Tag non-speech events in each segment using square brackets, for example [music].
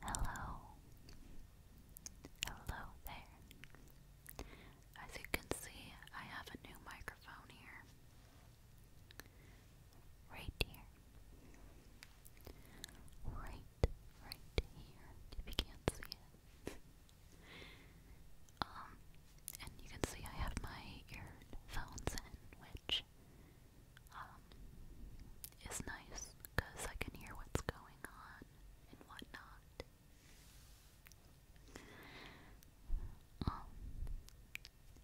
Hello. Hello there. As you can see, I have a new microphone here. Right here. Right, right here. If you can't see it. um, and you can see I have my earphones in, which um, is nice because I can hear what's going on and whatnot. Um,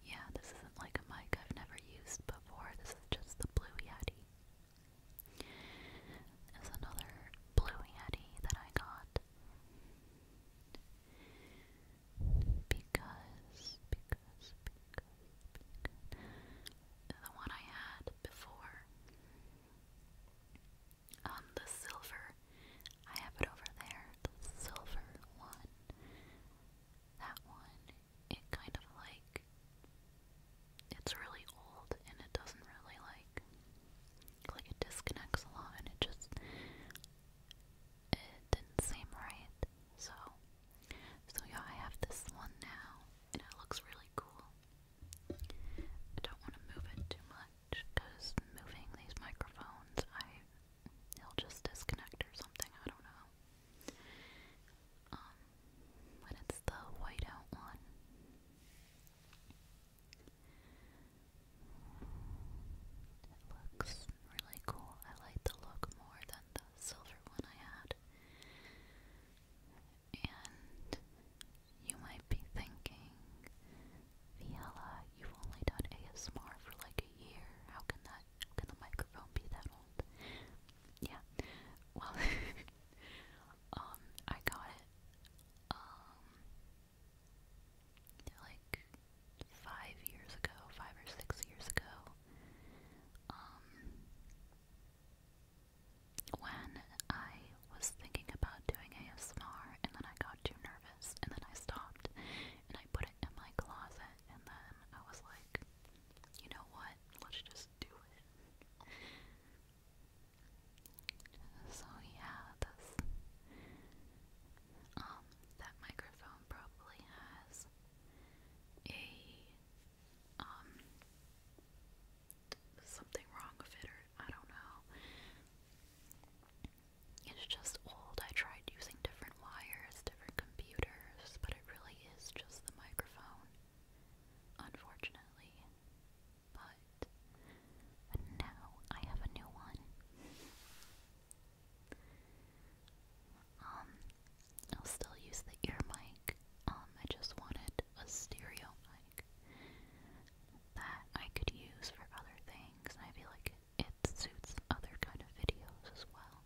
yeah, this isn't like a mic I've never used before. This is just the Blue Yeti. There's another Blue Yeti that I got because, the one I had before, um, the silver, I have it over there, the silver one, that one, it kind of like, it's really old and it doesn't really like, like it disconnects a lot and it just, it didn't seem right, so so yeah, I have this one now, and it looks really cool. I don't want to move it too much, because moving these microphones, I it'll just disconnect or something, I don't know. Um, but it's the whiteout one. It looks really cool. I like the look more than silver one I had. And you might be thinking, Viella, you've only done ASMR for like a year. How can that how can the microphone be that old? Yeah. Well [laughs] um I got it um like five years ago, five or six years ago. Um, when I was thinking about doing ASMR, and then I got too nervous, and then I stopped, and I put it in my closet, and then I was like, you know what? Let's just do it. So yeah, this um that microphone probably has a um something wrong with it or I don't know. It's just old. I tried using different wires, different computers, but it really is just the microphone. Unfortunately. But now I have a new one. Um, I'll still use the ear mic. Um, I just wanted a stereo mic that I could use for other things, and I feel like it, suits other kind of videos as well.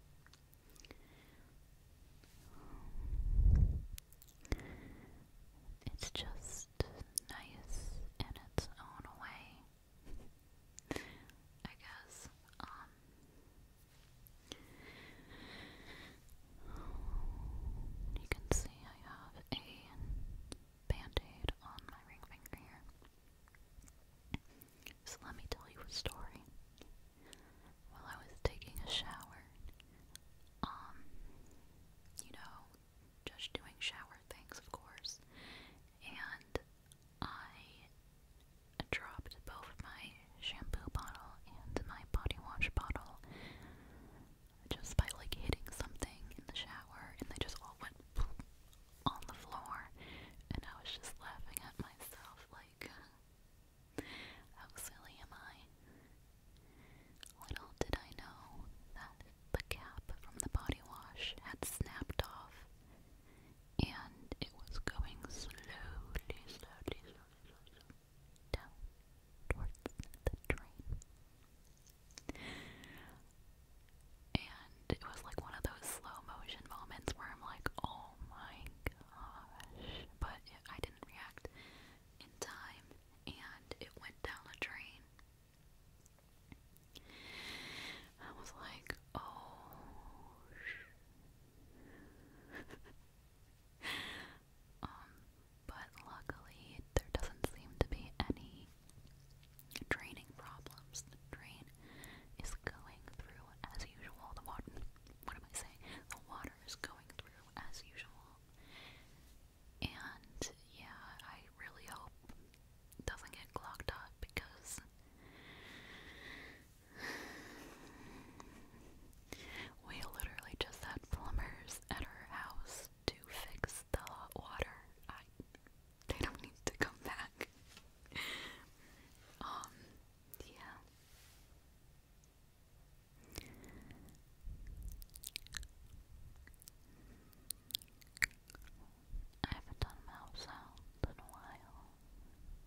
It's just nice in its own way, [laughs] I guess. Um, you can see I have a band on my ring finger here. So let me tell you a story. While I was taking a shower, um, you know, just doing shower things, of course, and I dropped both my shampoo bottle and my body wash bottle just by like hitting something in the shower, and they just all went [sniffs] on the floor, and I was just laughing at myself like, how silly am I? Little did I know that the cap from the body wash had snapped off and it was going slowly, slowly, slowly, slowly down towards the drain. And it was like one of those slow motion moments where I'm like, oh my gosh. But it, I didn't react in time and it went down the drain. I was like, oh [laughs] Um, but luckily, there doesn't seem to be any draining problems. The drain is going through as usual. The what am I saying? The water is going through as usual. And yeah, I really hope it doesn't get clogged up because we literally just had plumbers at our house to fix the hot water. I they don't need to come back. [laughs] um, yeah. I haven't done mouse sounds in a while.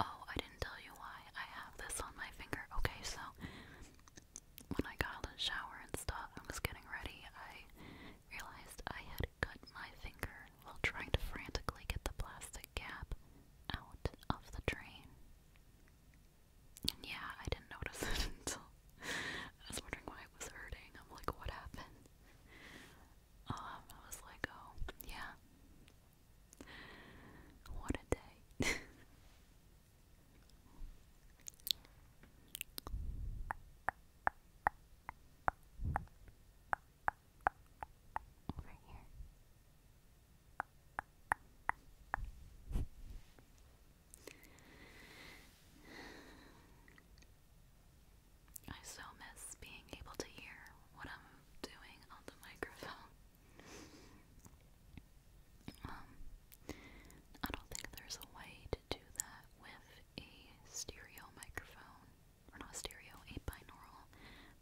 Oh, I didn't tell you why I have this on my finger. Okay, so when I got out of shower and stuff getting ready, I realized I had cut my finger while trying to frantically get the plastic cap out of the drain. yeah, I didn't notice it [laughs] until I was wondering why it was hurting. I'm like, what happened? um, I was like, oh, yeah. What a day. [laughs] Over here. I so miss being able to hear what I'm doing on the microphone. um, I don't think there's a way to do that with a stereo microphone. Or not stereo, a binaural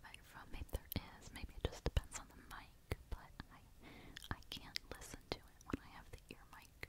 microphone. Maybe there is, maybe it just depends on the mic, but I I can't listen to it when I have the ear mic.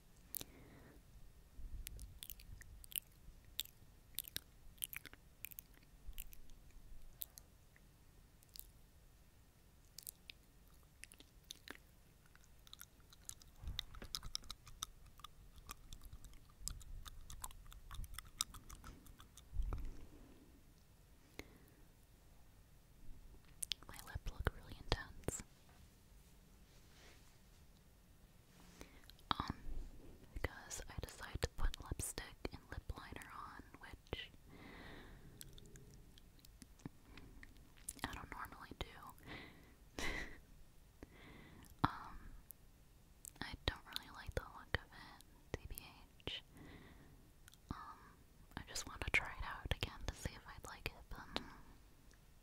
My lip look really intense. Um, because I decided to put lipstick and lip liner on, which I don't normally do. [laughs] um, I don't really like the look of it, TBH. Um, I just want to try it out again to see if I'd like it,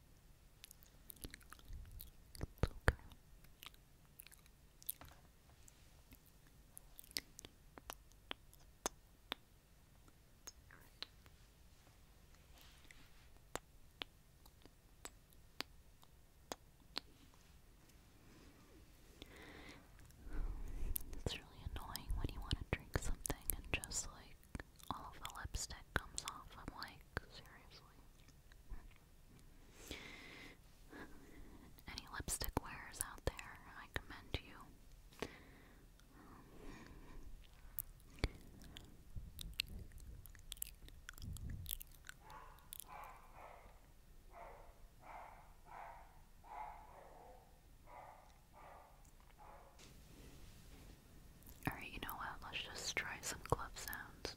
it's okay. It's really annoying when you want to drink something and just like like all of the lipstick comes off. I'm like, seriously. Any lipstick wearers out there, I commend you. Um, Alright, you know what? Let's just try some club sounds.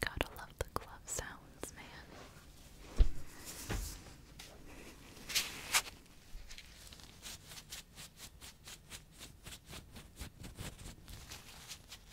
Gotta love the glove sounds, man.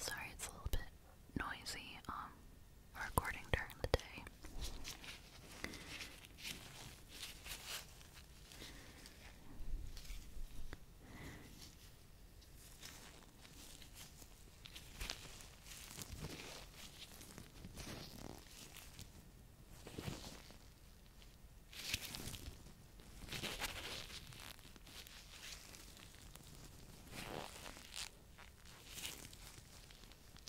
Sorry, it's a little bit noisy. Um, recording during the day.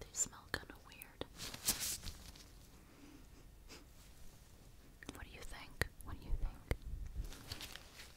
They smell kind of weird. What do you think? What do you think?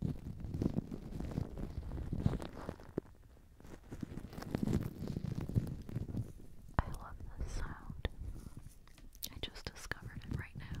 I love this sound. I just discovered it right now.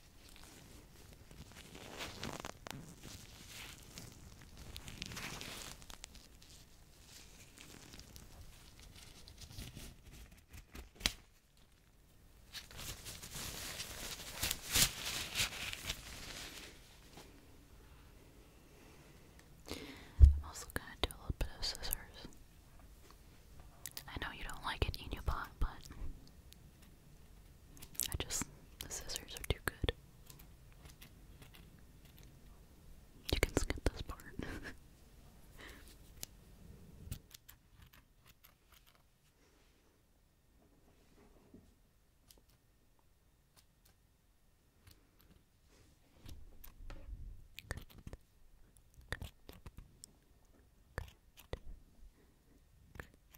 I'm also going to do a little bit of scissors. I know you don't like it in your pot, but I just, the scissors are too good. You can skip this part.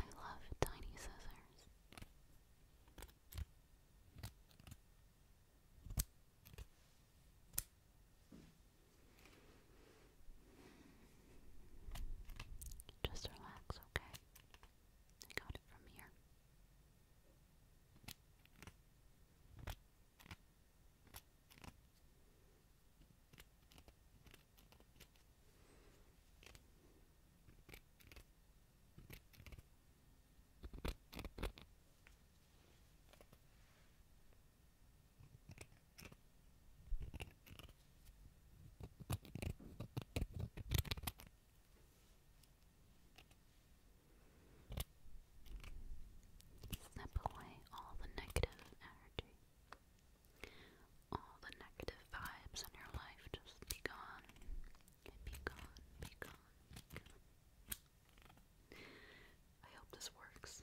I love tiny scissors. Just relax, okay? I got it from here. Snap away all the negative energy. All the negative vibes in your life just be gone. Be gone, be gone, I hope this works.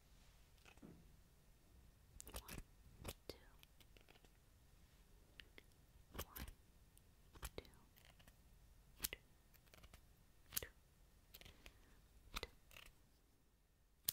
One, two. One, two. Two. Two. Two. Two. Two.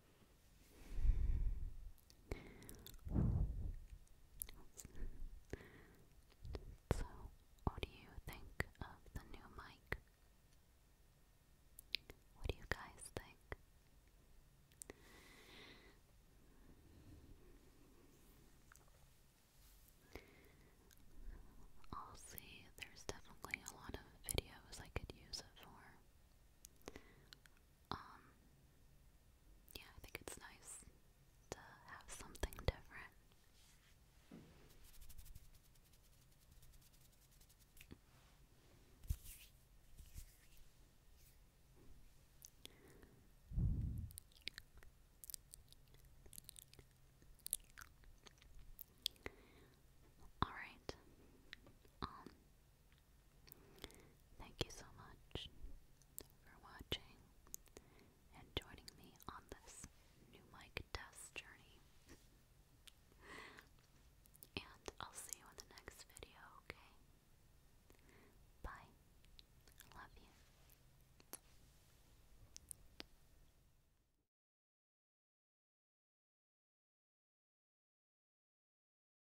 So, what do you think of the new mic? What do you guys think? I'll see, there's definitely a lot of videos I could use it for. Um, yeah, I think it's nice to have something different. All right. Um, Thank you so much for watching and joining me on this new mic test journey. [laughs] and I'll see you in the next video, okay? Bye. Love you.